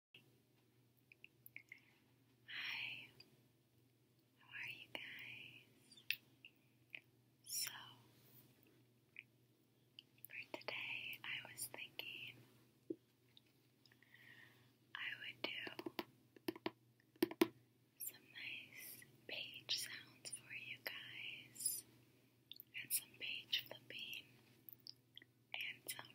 Hi, how are you guys? So, for today, I was thinking I would do some nice page sounds for you guys, and some page flipping, and some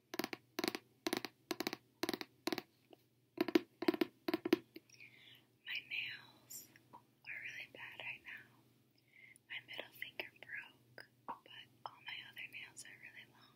My nails are really bad right now. My middle finger broke, but all my other nails are really long.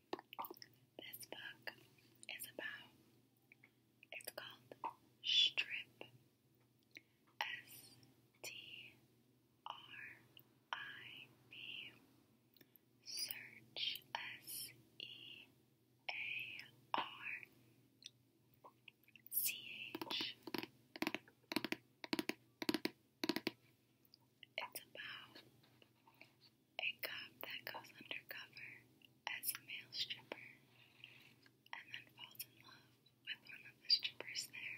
This book is about, it's called Strip. S T R I B. Search S E A R C H. It's about a cop that goes undercover as a male stripper and then falls in love with one of the strippers there.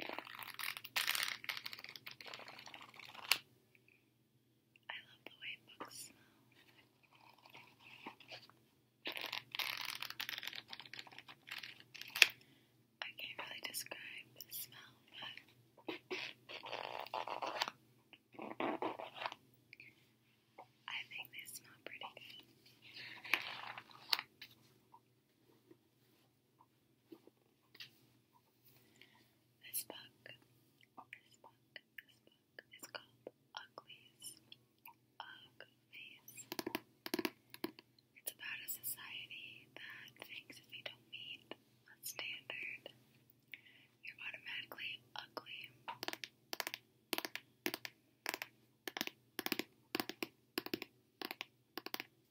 I love the way books smell. I can't really describe the smell, but I think they smell pretty this book, this book, this book is called Uglies. Uglies. It's about a society that thinks if you don't meet a standard, you're automatically ugly.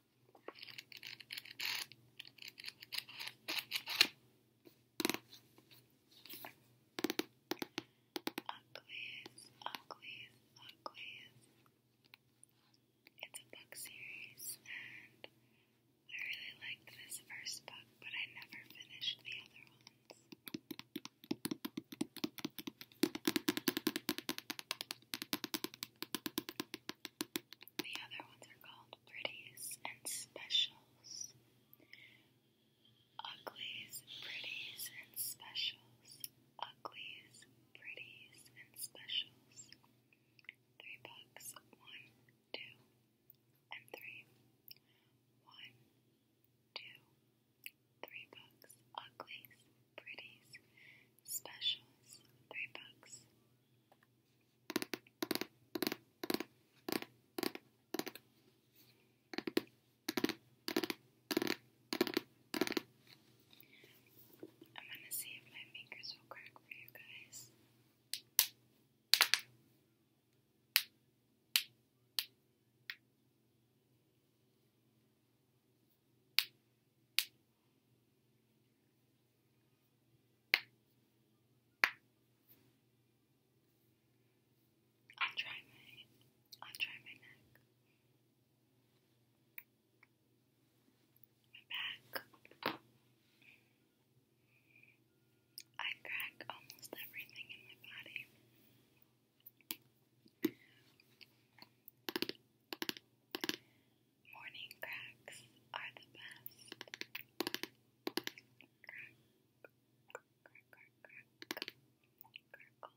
Uglies, Uglies, Uglies. It's a book series, and I really liked this first book, but I never finished the other ones. The other ones are called pretties and specials. Uglies, pretties, and specials. Uglies, pretties, and specials. Three bucks. One, two, and three. One, two, three bucks. Uglies, pretties, Specials, three bucks. I'm gonna see if my fingers will crack for you guys. I'll try my I'll try my neck. My back. I crack almost everything in my body. Morning cracks are the best. Crack, crack, crack, crack, crackle.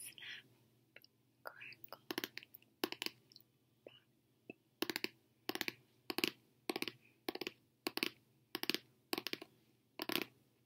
Snap, crackle, pop.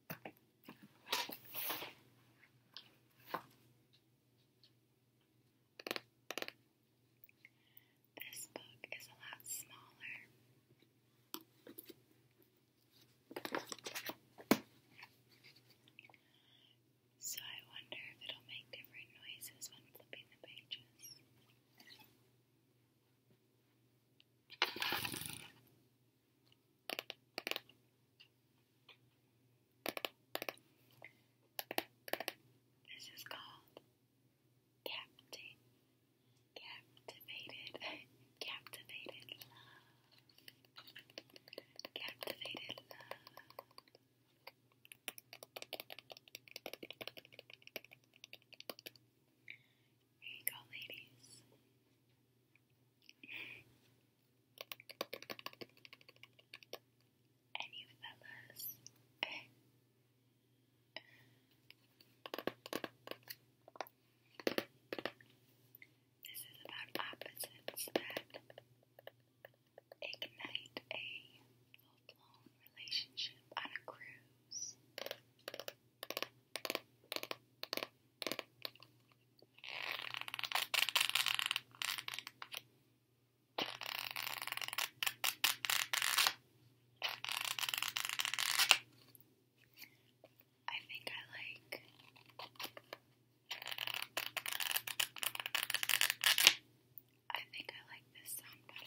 This book is a lot smaller. So I wonder if it'll make different noises when flipping the pages. This is called Capti Captivated Captivated Love Captivated Love here you go, ladies. and you fellas. this is about opposites that ignite a full blown relationship on a cruise. I think I like I think I like this sound better.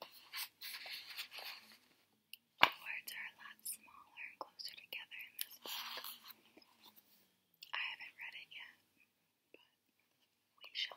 The words are a lot smaller and closer together in this book. I haven't read it yet, but we shall